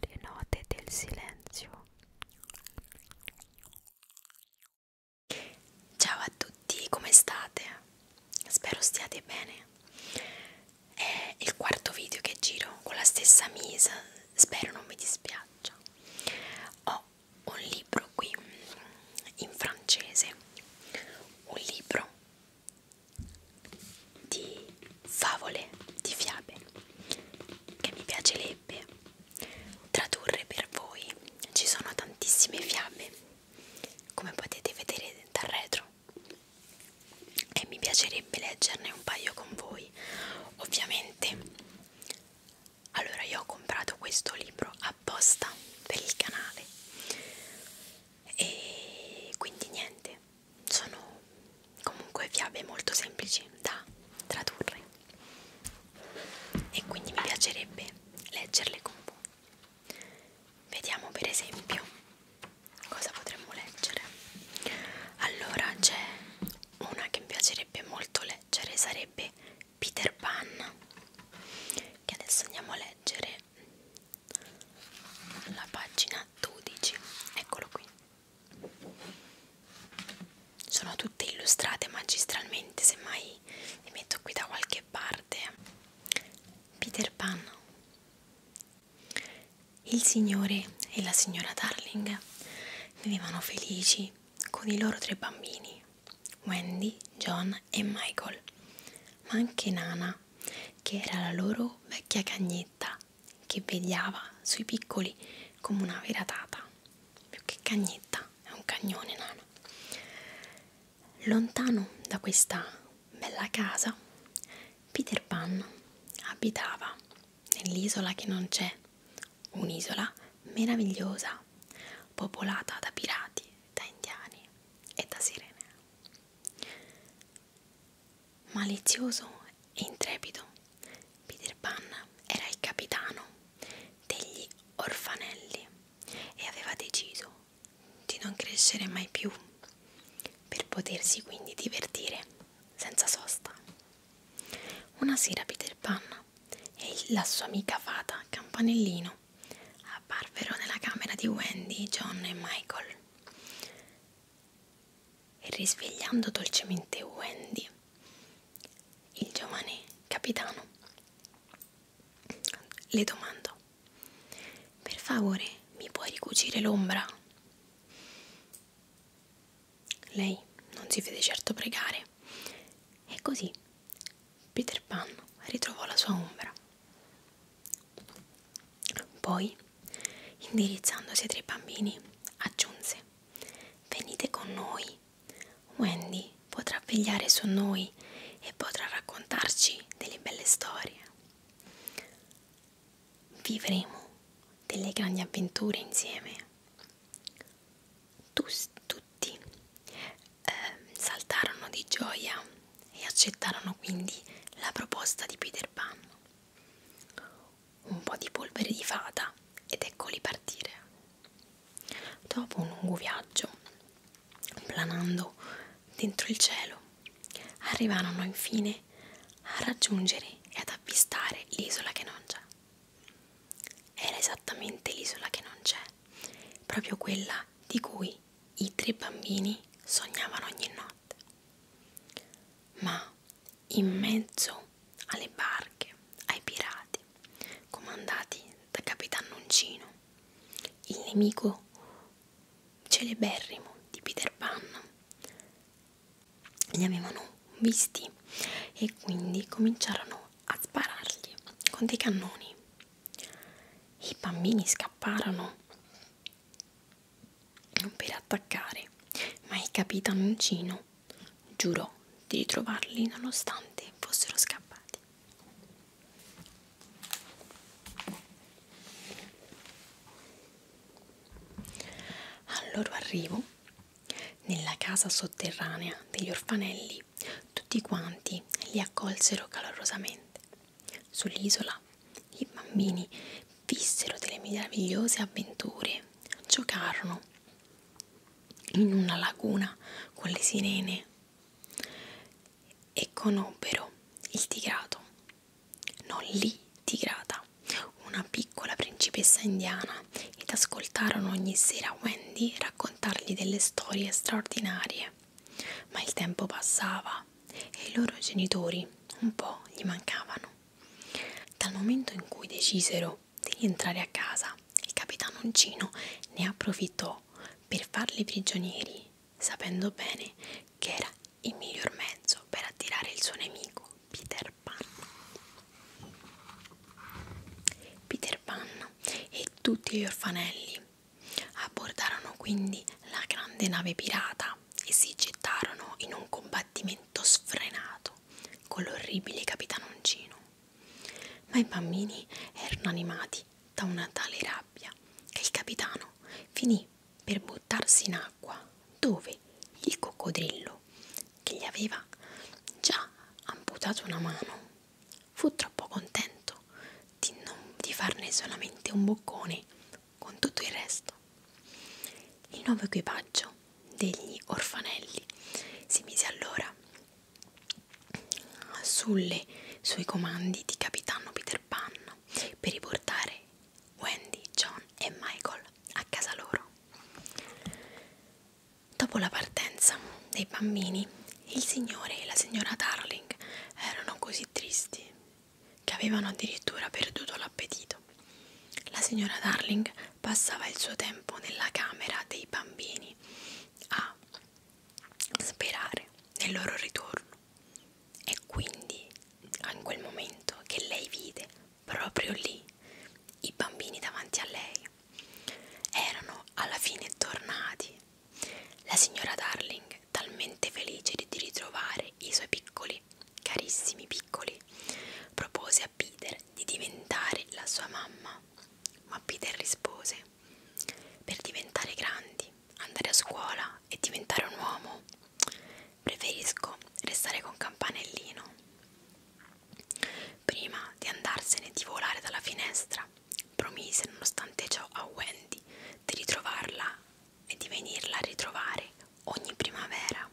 le note del silenzio. Ciao a tutti, come state? Spero stiate bene. È il quarto video che giro con la stessa misa, spero non mi dispiaccia. Ho un libro qui in francese, un libro di favole, di fiabe che mi piacerebbe tradurre per voi. Ci sono tantissime fiabe, come potete vedere dal retro, e mi piacerebbe leggerne un paio con voi. Ovviamente allora io ho comprato questo libro apposta per il canale e quindi niente sono comunque fiabe molto semplici da tradurre e quindi mi piacerebbe leggerle con voi. Vediamo per esempio cosa potremmo leggere. Allora c'è una che mi piacerebbe molto leggere, sarebbe Peter Pan, che adesso andiamo a leggere la pagina 12 eccolo qui sono tutte illustrate magistralmente semmai le metto qui da qualche parte Peter Pan il signore e la signora Darling vivevano felici con i loro tre bambini Wendy, John e Michael ma anche Nana che era la loro vecchia cagnetta che vegliava sui piccoli come una vera tata, più che cagnetta, è un cagnone nano. Lontano da questa bella casa, Peter Pan abitava nell'isola che non c'è, un'isola meravigliosa, popolata da pirati, da indiani e da sirene malizioso e intrepido, Peter Pan era il capitano degli orfanelli e aveva deciso di non crescere mai più per potersi quindi divertire senza sosta. Una sera Peter Pan e la sua amica fata Campanellino apparvero nella camera di Wendy, John e Michael. E risvegliando dolcemente Wendy, il giovane capitano le domandò: Per favore, mi puoi ricucire l'ombra? Lei non si fece certo pregare, e così Peter Pan ritrovò la sua ombra. Poi, indirizzandosi ai tre bambini, aggiunse: Venite con noi. Wendy potrà vegliare su noi e potrà raccontarci delle belle storie. Vivremo delle grandi avventure insieme. Tu, tutti eh, saltarono di gioia e accettarono quindi la proposta di Peter Pan un po' di polvere di fata ed eccoli partire. Dopo un lungo viaggio, planando dentro il cielo, arrivarono infine a raggiungere e ad avvistare l'isola che non c'è. Era esattamente l'isola che non c'è, proprio quella di cui i tre bambini sognavano ogni notte giornate, ma in mezzo alle barche, ai pirati, comandati da Capitannoncino, il nemico celeberrimo di Peter Pan, li avevano visti e quindi cominciarono a sparargli con dei cannoni. I bambini scapparono non per attaccare, ma il capitanoncino giurò di ritrovarli nonostante fossero scappati. Al loro arrivo, nella casa sotterranea degli orfanelli, tutti quanti li accolsero calorosamente. Sull'isola i bambini vissero delle meravigliose avventure, giocarono in una laguna con le sirene e conobbero il tigrato, non lì tigrata, una piccola principessa indiana ed ascoltarono ogni sera Wendy raccontargli delle storie straordinarie. Ma il tempo passava e i loro genitori un po' gli mancavano. Dal momento in cui decisero di rientrare a casa, il capitano Uncino ne approfittò per farli prigionieri, sapendo bene che era il miglior mezzo per attirare il suo nemico Peter Pan. Peter Pan e tutti gli orfanelli abbordarono quindi la grande nave pirata e si gettarono in un combattimento pianto sfrenato con l'orribile capitanoncino. Ma i bambini erano animati da una tale rabbia che il capitano finì per buttarsi in acqua dove il coccodrillo, che gli aveva già amputato una mano, fu troppo contento di, non, di farne solamente un boccone con tutto il resto. Il nuovo equipaggio degli orfanelli si mise allora sulle sui comandi di capitano Peter Pan per riportare Wendy, John e Michael a casa loro. Dopo la partenza dei bambini, il signore e la signora Darling erano così tristi che avevano addirittura perduto l'appetito. La signora Darling passava il suo tempo nella camera dei bambini a sperare nel loro ritorno. E quindi, in quel momento che lei vide proprio lì i bambini davanti a lei, erano alla fine tornati. La signora Darling, talmente felice di ritrovare i suoi piccoli, carissimi piccoli, propose a Peter di diventare la sua mamma, ma Peter rispose, per diventare grandi, andare a scuola e diventare un uomo, preferisco restare con Campanellino. Prima di andarsene di volare dalla finestra, promise nonostante ciò a Wendy di ritrovarla e di venirla a ritrovare ogni primavera.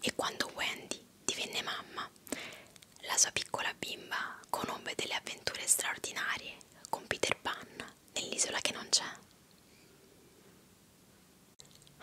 E quando Wendy divenne mamma, la sua piccola bimba conobbe delle avventure straordinarie con Peter Pan nell'isola che non c'è.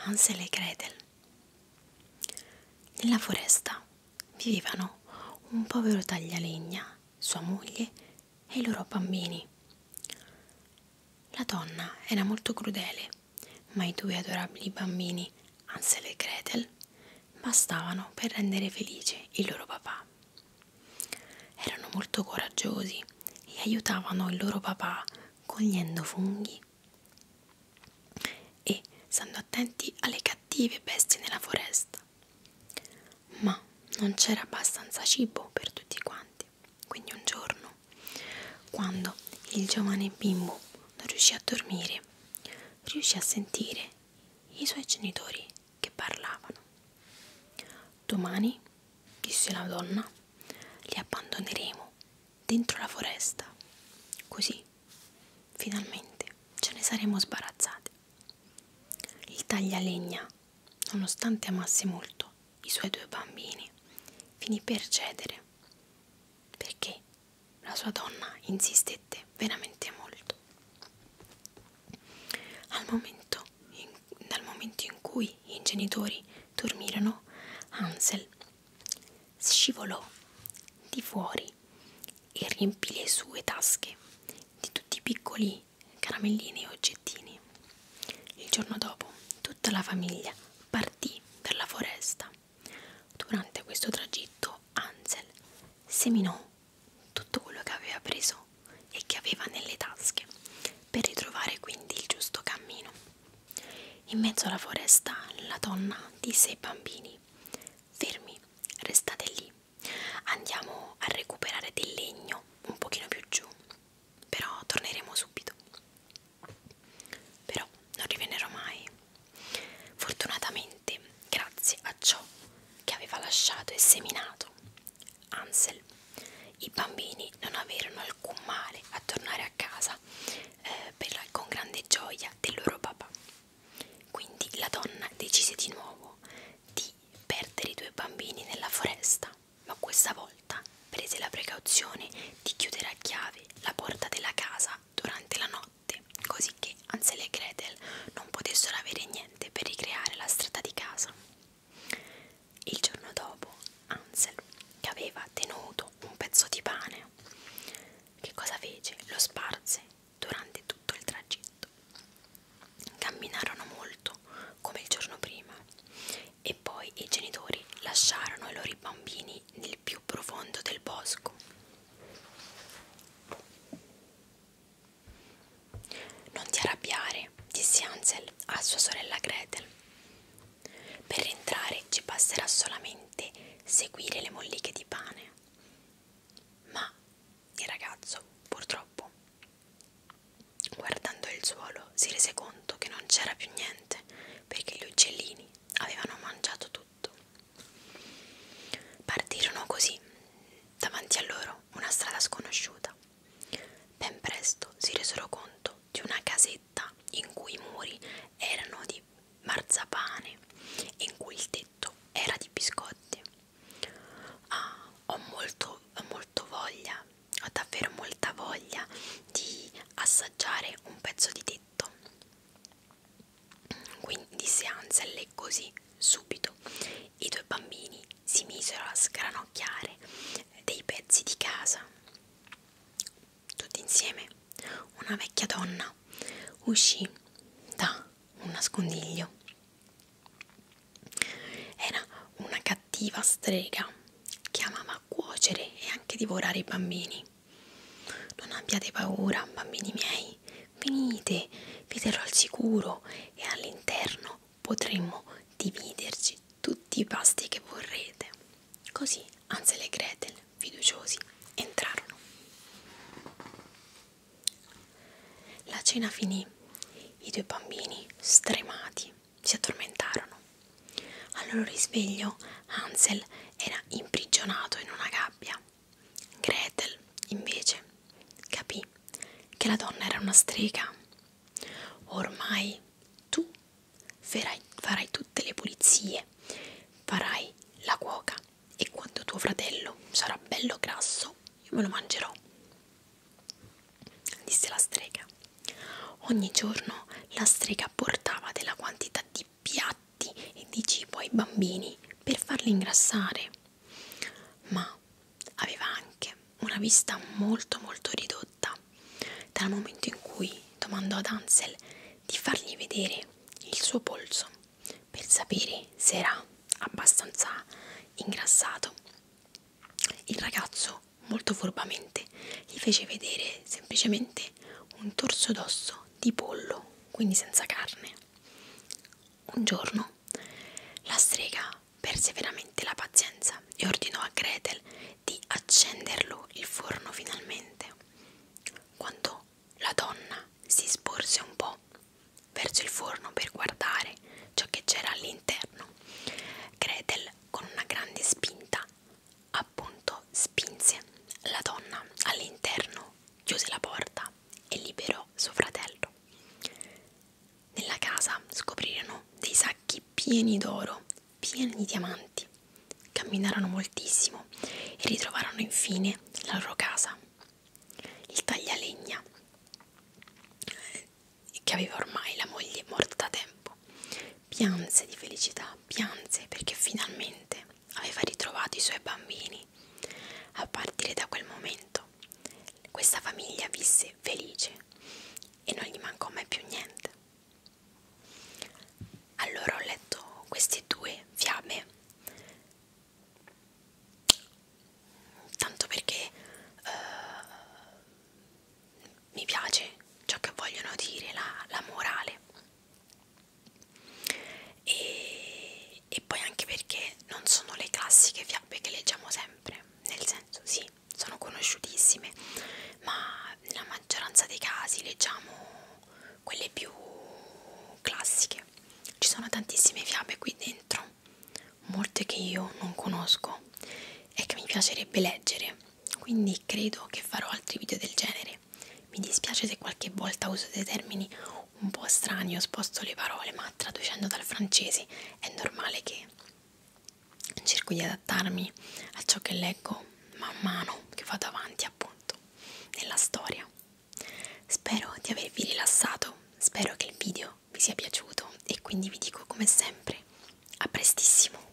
Hansel e Gretel Nella foresta vivevano un povero taglialegna, sua moglie e i loro bambini. La donna era molto crudele, ma i due adorabili bambini, Ansel e Gretel, bastavano per rendere felice il loro papà. Erano molto coraggiosi e aiutavano il loro papà cogliendo funghi e stando attenti alle cattive bestie nella foresta. Ma non c'era abbastanza cibo per tutti quanti. Quindi un giorno, quando il giovane bimbo non riuscì a dormire, riuscì a sentire i suoi genitori che parlavano. Domani, disse la donna, li abbandoneremo dentro la foresta. Così, finalmente, ce ne saremo sbarazzati. Il taglialegna, nonostante amasse molto i suoi due bambini, finì per cedere perché la sua donna insistette veramente molto. Al momento, in, dal momento in cui i genitori dormirono, Hansel scivolò di fuori e riempì le sue tasche di tutti i piccoli caramellini e oggettini. Il giorno dopo tutta la famiglia partì per la foresta. Durante questo tragitto Ansel seminò tutto quello che aveva preso e che aveva nelle tasche per ritrovare quindi il giusto cammino. In mezzo alla foresta la donna disse ai bambini fermi, restate lì, andiamo a recuperare del legno un pochino più giù però torneremo subito. Però non rivenerò mai. Fortunatamente, grazie a ciò che aveva lasciato e seminato Ansel, i bambini non avevano alcun male a tornare a casa eh, per la, con grande gioia del loro papà. Quindi la donna decise di nuovo di perdere i due bambini nella foresta, ma questa volta volta prese la precauzione di chiudere a chiave la porta della casa durante la notte, così che Ansel e Gretel non potessero avere niente per ricreare la strada di casa. Il giorno dopo, Ansel, che aveva tenuto un pezzo di pane, che cosa fece? Lo sparse durante tutto il tragitto. Camminarono molto come il giorno prima e poi i genitori lasciarono i loro bambini nel più profondo del bosco. Non ti arrabbiare, disse Hansel a sua sorella Gretel. Per entrare ci basterà solamente seguire le molliche di pane. Ma il ragazzo, purtroppo, guardando il suolo, piccolo si rese conto che non c'era più niente perché gli uccellini avevano mangiato tutto. Partirono così, davanti a loro una strada sconosciuta. Ben presto si resero conto di una casetta in cui i muri erano di marzapane e in cui il tetto era di biscotti. Ah, ho molto, ho molto voglia, ho davvero molta voglia di assaggiare un pezzo di tetto. Quindi disse Hansel e così subito i due bambini si misero a sgranocchiare dei pezzi di casa. Tutti insieme una vecchia donna uscì da un nascondiglio. Era una cattiva strega che amava a cuocere e anche divorare i bambini. Non abbiate paura, bambini miei, venite, vi terrò al sicuro e all'interno potremmo dividerci tutti i pasti che vorrete. Così Ansel e Gretel, fiduciosi, entrarono. La cena finì. I due bambini, stremati, si addormentarono. Al loro risveglio Hansel era imprigionato in una gabbia. Gretel, invece, capì che la donna era una strega. Ormai tu farai, farai tutte le pulizie, farai la cuoca e quando tuo fratello sarà bello grasso io me lo mangerò, disse la strega. Ogni giorno la strega portava della quantità di piatti e di cibo ai bambini per farli ingrassare, ma aveva anche una vista molto molto ridotta dal momento in cui domandò ad Ansel di fargli vedere il suo polso per sapere se era abbastanza ingrassato. Il ragazzo molto furbamente gli fece vedere semplicemente un torso d'osso di pollo, quindi senza carne. Un giorno la strega perse veramente la pazienza e ordinò a Gretel di accenderlo il forno finalmente. Quando la donna si sporse un po' verso il forno per guardare ciò che c'era all'interno, Gretel con una grande spinta appunto spinse la donna all'interno, chiuse la porta e liberò suo fratello. Nella casa scoprirono dei sacchi pieni d'oro, pieni di diamanti. Camminarono moltissimo e ritrovarono infine la loro casa. Il taglialegna, che aveva ormai la moglie morta da tempo, corpo. Pianse di felicità, pianse perché finalmente aveva ritrovato i suoi bambini. A partire da quel momento questa famiglia visse felice e non gli mancò mai più niente. Allora ho letto queste due fiabe, tanto perché uh, mi piace ciò che vogliono dire, la, la morale e, e poi anche perché non sono le classiche fiabe che leggiamo sempre nel senso sì sono conosciutissime ma nella maggioranza dei casi leggiamo quelle più classiche ci sono tantissime fiabe qui dentro molte che io non conosco e che mi piacerebbe leggere quindi credo che farò altri video del genere mi dispiace se qualche volta uso dei termini un po' strani o sposto le parole, ma traducendo dal francese è normale che cerco di adattarmi a ciò che leggo man mano che vado avanti, appunto, nella storia. Spero di avervi rilassato, spero che il video vi sia piaciuto e quindi vi dico come sempre, a prestissimo!